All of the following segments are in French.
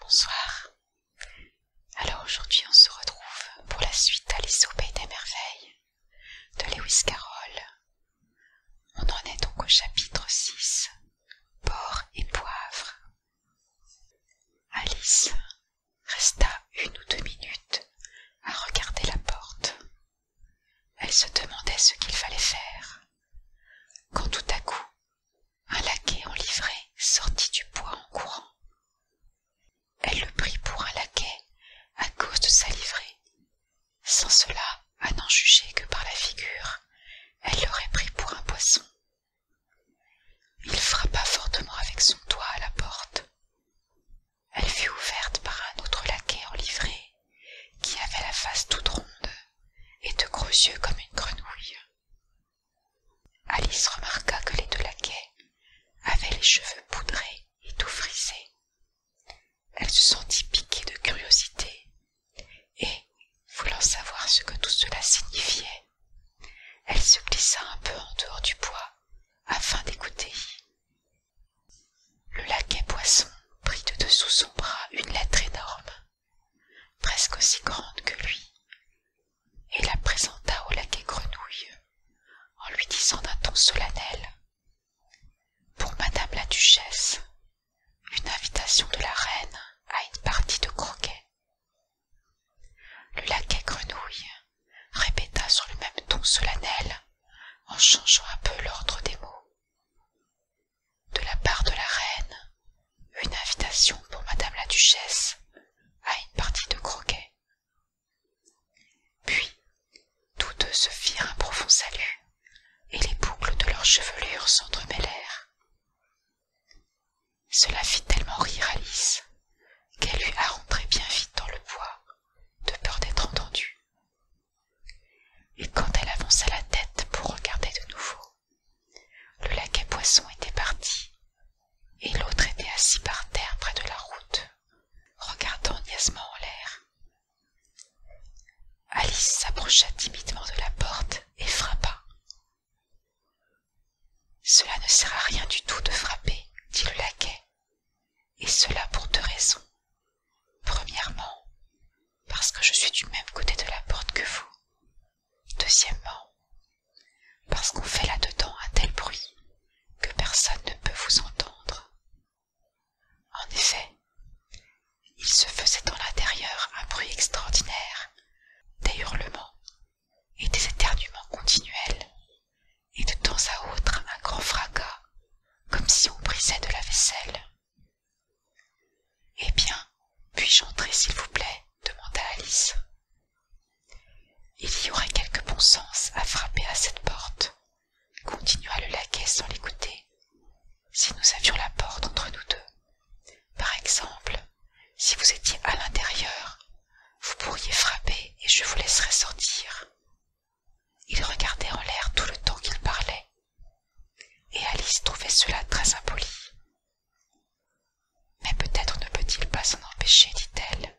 Bonsoir. Alors aujourd'hui on se retrouve pour la suite Alice au Pays des Merveilles de Lewis Carroll. On en est donc au chapitre 6, Porc et Poivre. Alice resta une ou deux minutes à regarder la porte. Elle se demandait ce qu'il fallait faire, quand tout à coup un laquais en livrée sortit du bois en courant elle le prit pour un laquais à cause de sa livrée sans cela à n'en juger que par la figure elle l'aurait pris pour un poisson il frappa fortement avec son doigt à la porte elle fut ouverte par un autre laquais en livrée qui avait la face toute ronde et de gros yeux comme une grenouille. Alice remarqua que les deux laquais avaient les cheveux poudrés et tout frisés. Elle se sentit piquée de curiosité et, voulant savoir ce que tout cela signifiait, elle se glissa un peu en dehors du bois afin d'écouter. Le laquais poisson prit de dessous son bras une lettre énorme presque aussi grande que lui, et la présenta au laquais grenouille en lui disant d'un ton solennel Pour madame la duchesse, une invitation de la reine à une partie de croquet. Le laquais grenouille répéta sur le même ton solennel en changeant un peu l'ordre des mots de la part de la reine une invitation pour madame la duchesse à une partie de croquet puis tous deux se firent un profond salut et les boucles de leurs chevelures s'entremêlèrent cela fit tellement rire alice qu'elle eut à rentrer bien vite dans le bois de peur d'être entendue et quand elle avança la tête pour regarder de nouveau le laquais poisson était parti et l'autre était assis par terre près de la route regardant niaisement en l'air alice s'approcha timidement de la porte et frappa cela ne sert à rien du tout de frapper dit le laquais et cela pour deux raisons Premièrement, parce que je suis du même côté de la porte que vous. Deuxièmement, parce qu'on fait là-dedans un tel bruit que personne ne peut vous entendre. En effet, il se faisait dans l'intérieur un bruit extraordinaire, des hurlements et des éternuements continuels, et de temps à autre un grand fracas, comme si on brisait de la vaisselle. Eh bien, puis-je entrer, s'il vous plaît? demanda Alice. Il y aurait quelque bon sens à frapper à cette porte, continua le laquais sans l'écouter, si nous avions la porte entre nous deux. Par exemple, si vous étiez à l'intérieur, vous pourriez frapper et je vous laisserais sortir. Il regardait en l'air tout le temps qu'il parlait et Alice trouvait cela très impoli. Mais peut-être ne peut-il pas s'en empêcher, dit-elle.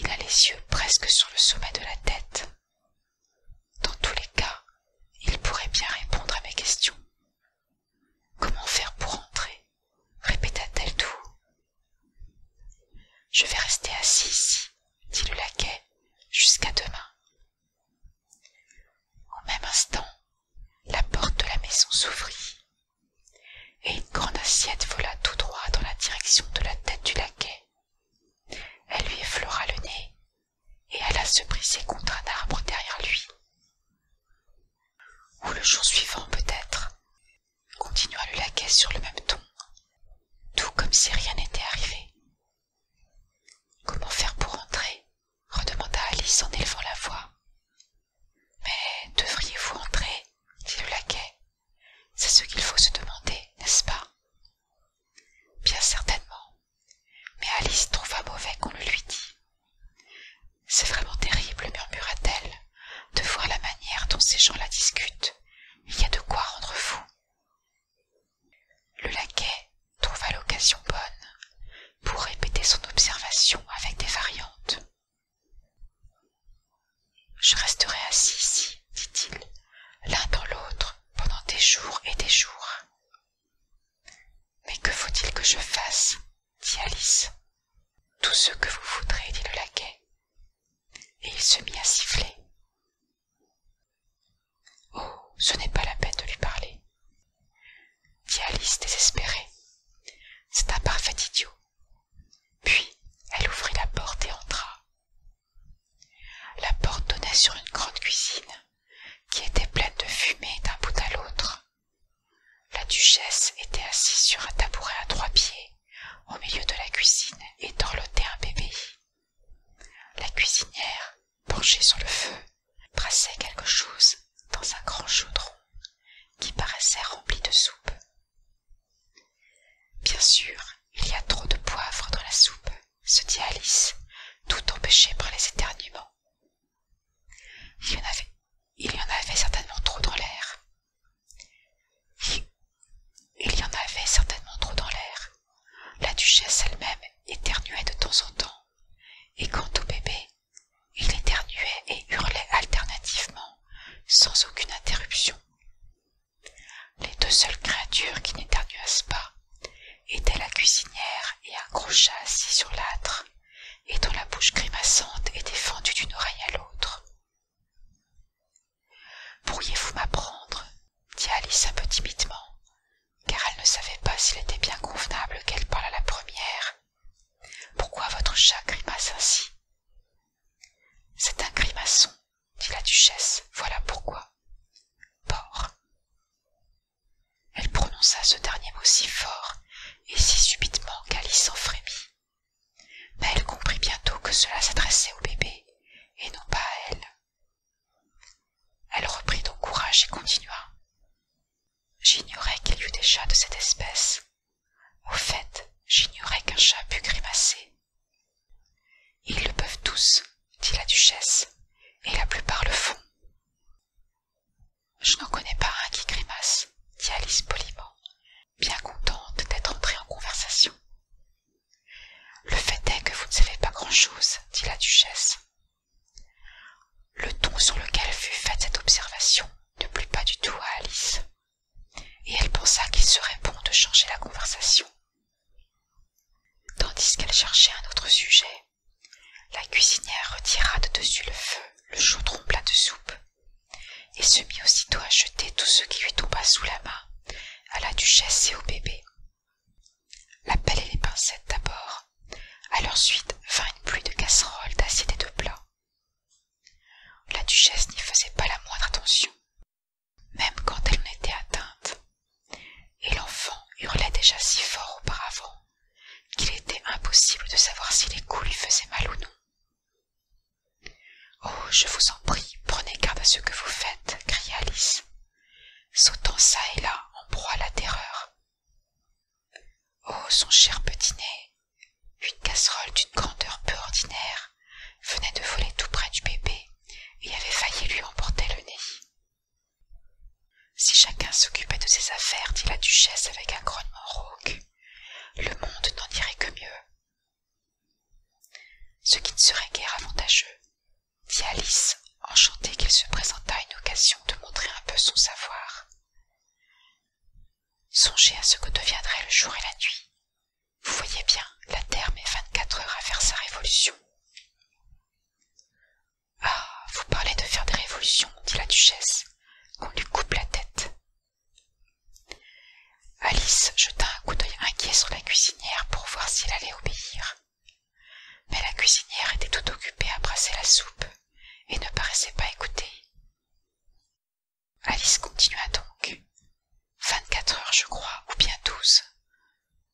Il a les yeux presque sur le sommet de la tête. Dans tous les cas, il pourrait bien répondre à mes questions. Comment faire pour entrer répéta-t-elle tout Je vais rester assis ici, dit le laquais, jusqu'à demain, au même instant la porte de la maison s'ouvrit et une grande assiette vola tout droit dans la direction de la tête du laquais elle lui effleura le nez et alla se briser contre un arbre derrière lui ou le jour suivant peut-être continua le laquais sur le même ton tout comme si rien n'était arrivé Comment faire pour entrer redemanda Alice en élevant la voix. Mais devriez-vous entrer dit le laquais. C'est ce qu'il faut se demander, n'est-ce pas Bien certainement. Mais Alice trouva mauvais qu'on le lui dit. C'est vraiment terrible, murmura-t-elle, de voir la manière dont ces gens la discutent. Il y a de quoi rendre fou le laquais trouva l'occasion bonne pour répéter son observation avec des variantes je resterai assis ici dit-il l'un dans l'autre pendant des jours et des jours mais que faut-il que je fasse dit alice tout ce que vous voudrez dit le laquais et il se mit à siffler oh ce n'est pas la peine de lui parler dit alice désespérée c'est un parfait idiot puis elle ouvrit la porte et entra la porte donnait sur une grande cuisine qui était pleine de fumée d'un bout à l'autre la duchesse était assise sur un tabouret à trois pieds au milieu de la cuisine et dorlotait un bébé la cuisinière, penchée sur le feu, brassait quelque chose dans un grand chaudron qui paraissait rempli de soupe. Bien sûr, il y a trop de poivre dans la soupe, se dit Alice, tout empêchée par les éternuements. il y en avait certainement trop dans l'air. Il y en avait certainement trop dans l'air. La duchesse elle-même éternuait de temps en temps, et quant au bébé, il éternuait et hurlait alternativement, sans aucune interruption. Les deux seules créatures qui n'éternuassent pas étaient la cuisinière et un crochet assis sur l'âtre, et dont la bouche grimaçante était fendue d'une oreille à l'autre pourriez-vous m'apprendre dit alice un peu timidement car elle ne savait pas s'il était bien convenable qu'elle parlât la première pourquoi votre chat grimace ainsi c'est un grimaçon dit la duchesse voilà pourquoi porc elle prononça ce dernier mot si fort et si subitement qu'alice en frémit mais elle comprit bientôt que cela s'adressait au bébé et non pas à elle elle reprit donc courage et continua j'ignorais qu'il y eût des chats de cette espèce au fait j'ignorais qu'un chat pût grimacer ils le peuvent tous dit la duchesse et la plupart le font je n'en connais pas un qui grimace dit alice poliment bien contente d'être entrée en conversation. Le fait est que vous ne savez pas grand-chose, dit la duchesse. Le ton sur lequel fut faite cette observation ne plut pas du tout à Alice, et elle pensa qu'il serait bon de changer la conversation. Tandis qu'elle cherchait un autre sujet, la cuisinière retira de dessus le feu le chaudron plat de soupe et se mit aussitôt à jeter tout ce qui lui tomba sous la main à la duchesse et au bébé la pelle et les pincettes d'abord à leur suite vint une pluie de casseroles d'acide et de plats la duchesse n'y faisait pas la moindre attention même quand elle en était atteinte et l'enfant hurlait déjà si fort auparavant qu'il était impossible de savoir si les coups lui faisaient mal ou non Oh, je vous en prie, prenez garde à ce que vous faites, cria Alice, sautant çà et là en proie à la terreur. Oh, son cher petit nez, une casserole d'une grandeur peu ordinaire venait de voler tout près du bébé et avait failli lui emporter le nez. Si chacun s'occupait de ses affaires, dit la duchesse avec un grognement rauque, le monde n'en irait que mieux ce qui ne serait guère avantageux dit alice enchantée qu'il se présentât une occasion de montrer un peu son savoir songez à ce que deviendraient le jour et la nuit vous voyez bien la terre met vingt-quatre heures à faire sa révolution ah vous parlez de faire des révolutions dit la duchesse qu'on lui coupe la tête Alice jeta un coup d'œil inquiet sur la cuisinière pour voir s'il allait obéir. Mais la cuisinière était tout occupée à brasser la soupe et ne paraissait pas écouter. Alice continua donc. Vingt-quatre heures, je crois, ou bien douze.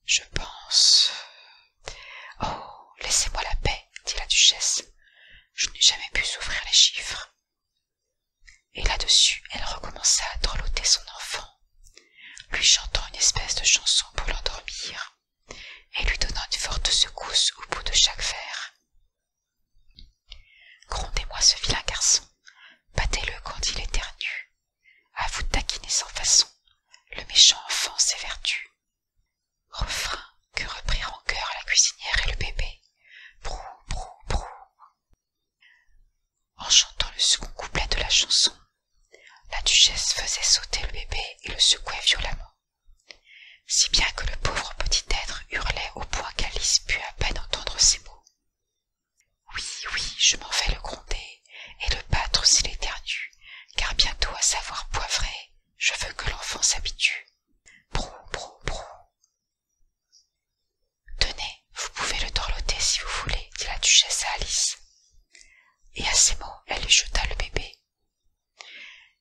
Je pense. Oh, laissez-moi la paix, dit la duchesse. Je n'ai jamais pu souffrir les chiffres et là-dessus elle recommença à dorloter son enfant lui chantant une espèce de chanson pour l'endormir et lui donnant une forte secousse au bout de chaque verre grondez-moi ce vilain garçon battez-le quand il est ternu à vous taquiner sans façon le méchant enfant s'évertue refrain que reprirent en chœur la cuisinière et le bébé en chantant le second couplet de la chanson la duchesse faisait sauter le bébé et le secouait violemment si bien que le pauvre petit être hurlait au point qu'alice put à peine entendre ces mots oui oui je m'en fais le gronder et le battre s'il éternue car bientôt à savoir poivrer je veux que l'enfant s'habitue Tenez, vous pouvez le dorloter si vous voulez, dit la duchesse à Alice. Et à ces mots, elle lui jeta le bébé.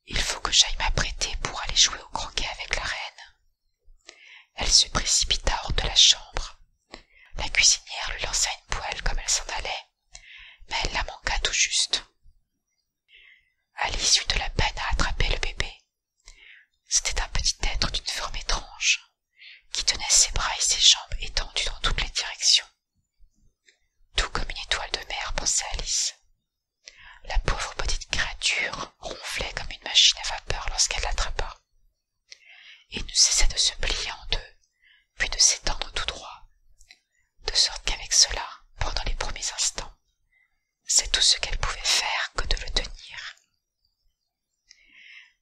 Il faut que j'aille m'apprêter pour aller jouer au croquet avec la reine. Elle se précipita hors de la chambre. La cuisinière lui lança une poêle comme elle s'en allait, mais elle la manqua tout juste. Alice eut de la peine à attraper le bébé, c'était un petit être d'une forme étrange qui tenait ses bras et ses jambes étendus dans toutes les directions tout comme une étoile de mer pensait alice la pauvre petite créature ronflait comme une machine à vapeur lorsqu'elle l'attrapa et ne cessait de se plier en deux puis de s'étendre tout droit de sorte qu'avec cela pendant les premiers instants c'est tout ce qu'elle pouvait faire que de le tenir.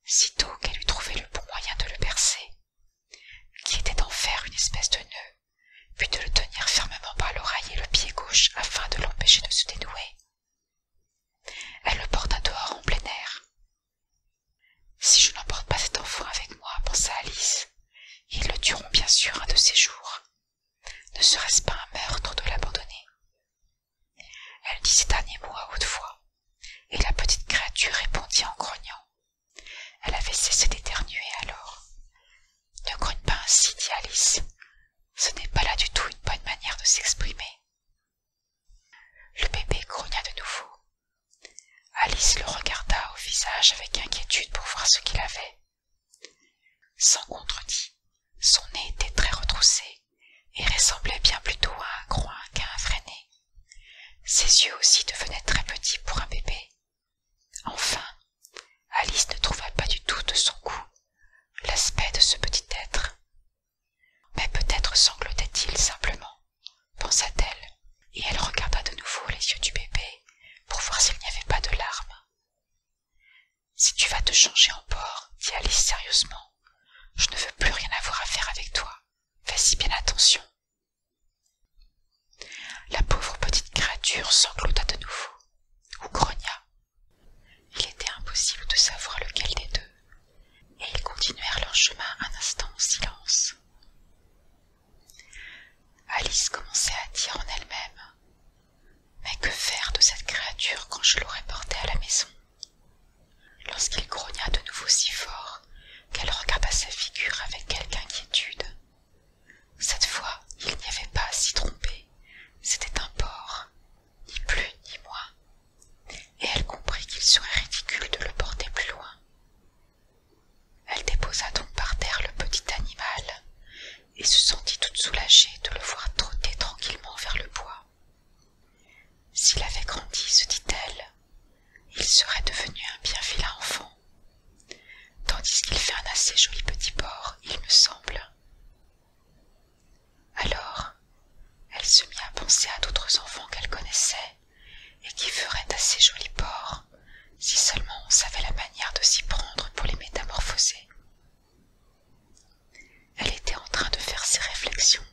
Sitôt qu'elle eut trouvé le bon moyen de le percer, qui était d'en faire une espèce de nœud, puis de le tenir fermement par l'oreille et le pied gauche afin de l'empêcher de se dénouer, elle le porta dehors en plein air. Si je n'emporte pas cet enfant avec moi, pensa Alice, ils le tueront bien sûr un de ces jours, ne serait-ce pas un meurtre de l'abandonner Elle dit ces derniers mots à haute voix, et la petite créature répondit en grognant. Elle avait cessé d'éternuer alors. Ne grogne pas ainsi, dit Alice. Ce n'est pas là du tout une bonne manière de s'exprimer. Le bébé grogna de nouveau. Alice le regarda au visage avec inquiétude pour voir ce qu'il avait. Sans contredit, son nez était très retroussé et ressemblait bien plutôt à un groin qu'à un vrai Ses yeux aussi devenaient très petits pour un bébé. Enfin, Alice ne trouva pas du tout de son goût l'aspect de ce petit être. Mais peut-être sanglotait-il simplement, pensa-t-elle, et elle regarda de nouveau les yeux du bébé pour voir s'il n'y avait pas de larmes, si tu vas te changer en porc dit alice sérieusement je ne veux plus rien avoir à faire avec toi fais si bien attention la pauvre petite créature sanglota de nouveau ou grogna il était impossible de savoir lequel des deux et ils continuèrent leur chemin un instant en silence Alice commençait à dire en elle-même Mais que faire de cette créature quand je l'aurais portée à la maison Lorsqu'il grogna de nouveau si fort qu'elle regarda sa figure avec quelque inquiétude. Cette fois, il n'y avait pas à s'y tromper, c'était un porc, ni plus ni moins, et elle comprit qu'il serait ridicule de le porter plus loin. Elle déposa donc par terre le petit animal et se sentit toute soulagée de le voir trotter tranquillement vers le bois. S'il avait grandi, se dit-elle, il serait devenu un bien vilain enfant, tandis qu'il fait un assez joli petit porc, il me semble. Alors, elle se mit à penser à d'autres enfants qu'elle connaissait et qui feraient assez jolis porcs si seulement on savait la manière de s'y prendre pour les métamorphoser. Elle était en train de faire ses réflexions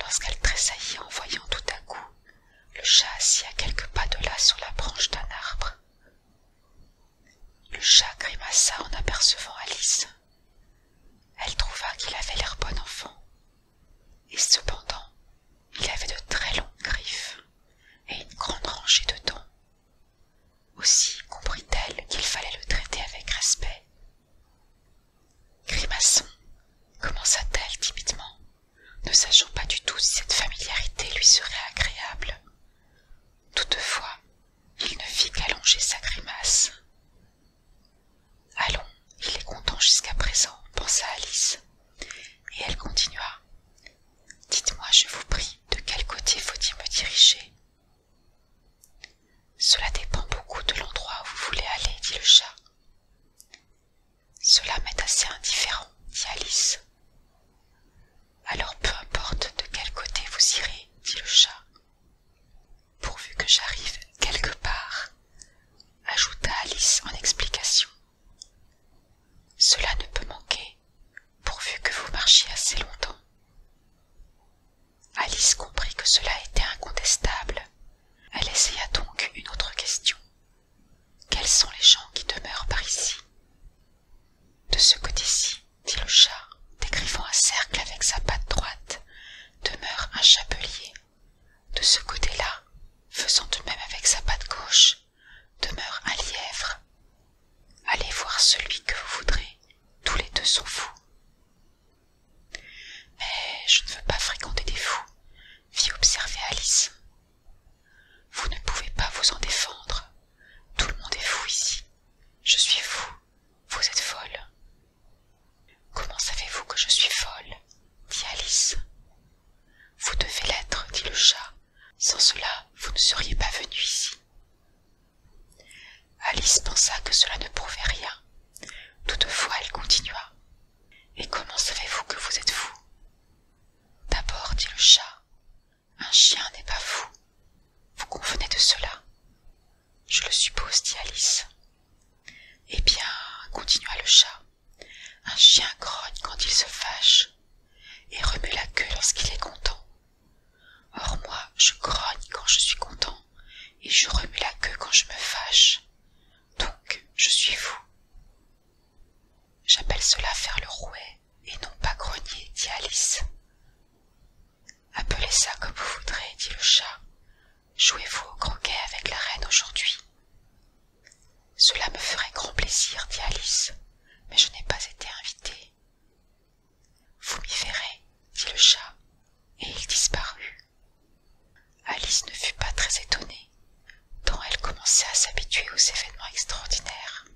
lorsqu'elle tressaillit en voyant tout à coup le chat assis à quelques pas de là sur la branche d'un arbre. Le chat grimaça en apercevant Alice. Elle trouva qu'il avait l'air bon enfant, et cependant il avait de très longues griffes et une grande rangée de dents. Aussi comprit-elle qu'il fallait le traiter avec respect. Grimaçon, commença-t-elle timidement, ne sachant pas du tout si cette familiarité lui serait agréable. Toutefois, il ne fit qu'allonger sa grimace. Allons, il est content jusqu'à présent, pensa Alice, et elle continua. Dites-moi, je vous prie, de quel côté faut-il me diriger Cela dépend beaucoup de l'endroit où vous voulez aller, dit le chat. Cela m'est assez indifférent, dit Alice. Alors peu importe de quel côté vous irez, dit le chat. Pourvu que j'arrive quelque part, ajouta Alice en explication. Cela ne peut manquer, pourvu que vous marchiez assez longtemps. Alice comprit que cela était incontestable. Elle essaya donc une autre question. Quels sont les gens qui demeurent par ici De ce côté-ci, dit le chat, décrivant un cercle avec sa patte droite, demeure un chapelier. De ce côté-là, faisant de même avec sa patte gauche, demeure un lièvre. Allez voir celui que vous voudrez, tous les deux sont fous. Mais je ne veux pas fréquenter des fous, fit observer Alice. Vous ne pouvez pas vous en défendre. Tout le monde est fou ici. Je suis fou. Vous êtes folle. Comment savez-vous que je suis folle dit Alice vous devez l'être dit le chat sans cela vous ne seriez pas venu ici alice pensa que cela ne prouvait rien toutefois elle continua et comment savez-vous que vous êtes fou d'abord dit le chat un chien n'est pas fou vous convenez de cela je le suppose dit alice eh bien continua le chat un chien grogne quand il se fâche et remue la queue lorsqu'il est content. Or moi, je grogne quand je suis content et je remue la queue quand je me fâche. Donc, je suis fou. J'appelle cela faire le rouet et non pas grogner, dit Alice. Appelez ça comme vous voudrez, dit le chat. Jouez-vous au croquet avec la reine aujourd'hui. Cela me ferait grand plaisir, dit Alice, mais je n'ai pas été invitée. Vous m'y verrez, dit le chat, et il disparut. Alice ne fut pas très étonnée, tant elle commençait à s'habituer aux événements extraordinaires.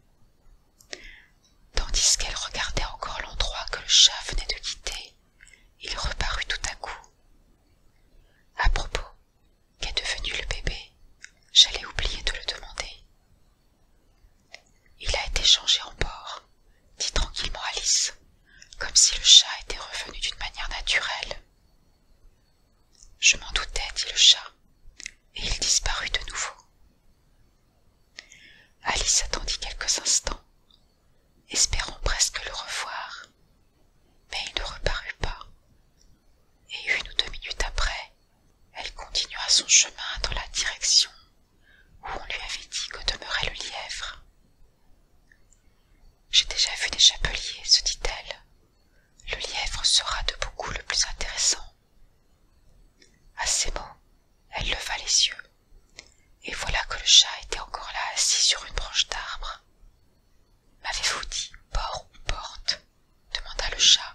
Tandis qu'elle regardait encore l'endroit que le chat venait de quitter, il reparut tout à coup. À propos, Qu'est devenu le bébé J'allais oublier de le demander. Il a été changé en porc, dit tranquillement Alice, comme si le chat était revenu d'une manière naturelle. Je m'en doutais, dit le chat, et il disparut de nouveau. Alice attendit quelques instants, espérant presque le revoir, mais il ne reparut pas, et une ou deux minutes après, elle continua son chemin dans la direction où on lui avait dit que demeurait le lièvre. J'ai déjà vu des chapeliers, se dit-elle. Le lièvre sera de beaucoup le plus intéressant. À ces mots, elle leva les yeux, et voilà que le chat était encore là assis sur une branche d'arbre. M'avez-vous dit port ou porte demanda le chat.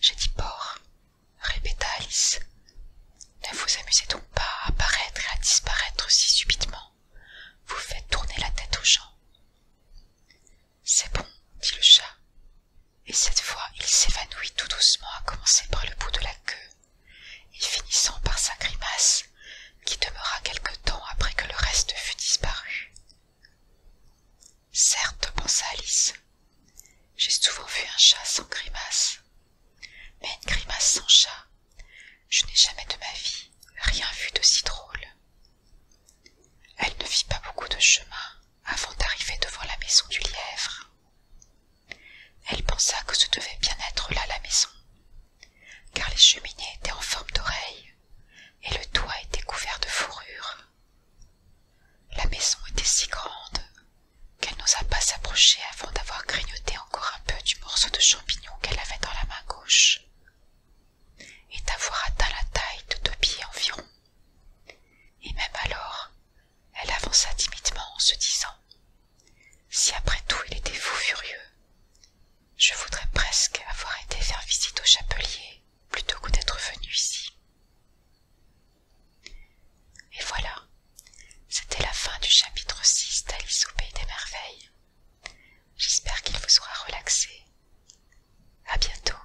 J'ai dit port, répéta Alice. Ne vous amusez donc pas à apparaître et à disparaître si subitement. Vous faites tourner la tête aux gens. C'est bon, dit le chat. Et cette fois, il s'évanouit tout doucement à commencer par le bout de la queue, et finissant par sa grimace qui demeura quelque temps après que le reste fût disparu. Certes, pensa Alice, j'ai souvent vu un chat sans grimace, mais une grimace sans chat, je n'ai jamais de ma vie rien vu de si drôle. Elle ne vit pas beaucoup de chemin avant d'arriver devant la maison du lièvre. Elle pensa que ce devait bien être là la maison, car les cheminées étaient en forme d'oreilles, et le toit était couvert de fourrure. La maison était si grande qu'elle n'osa pas s'approcher avant d'avoir grignoté encore un peu du morceau de champignon qu'elle avait dans la main gauche et d'avoir atteint la taille de deux pieds environ. Et même alors, elle avança timidement en se disant si après tout il était fou furieux, je voudrais presque avoir été faire visite au chapelier plutôt que d'être venu ici. Et voilà, c'était la fin du chapitre 6 d'Alice au Pays des Merveilles. J'espère qu'il vous aura relaxé. À bientôt.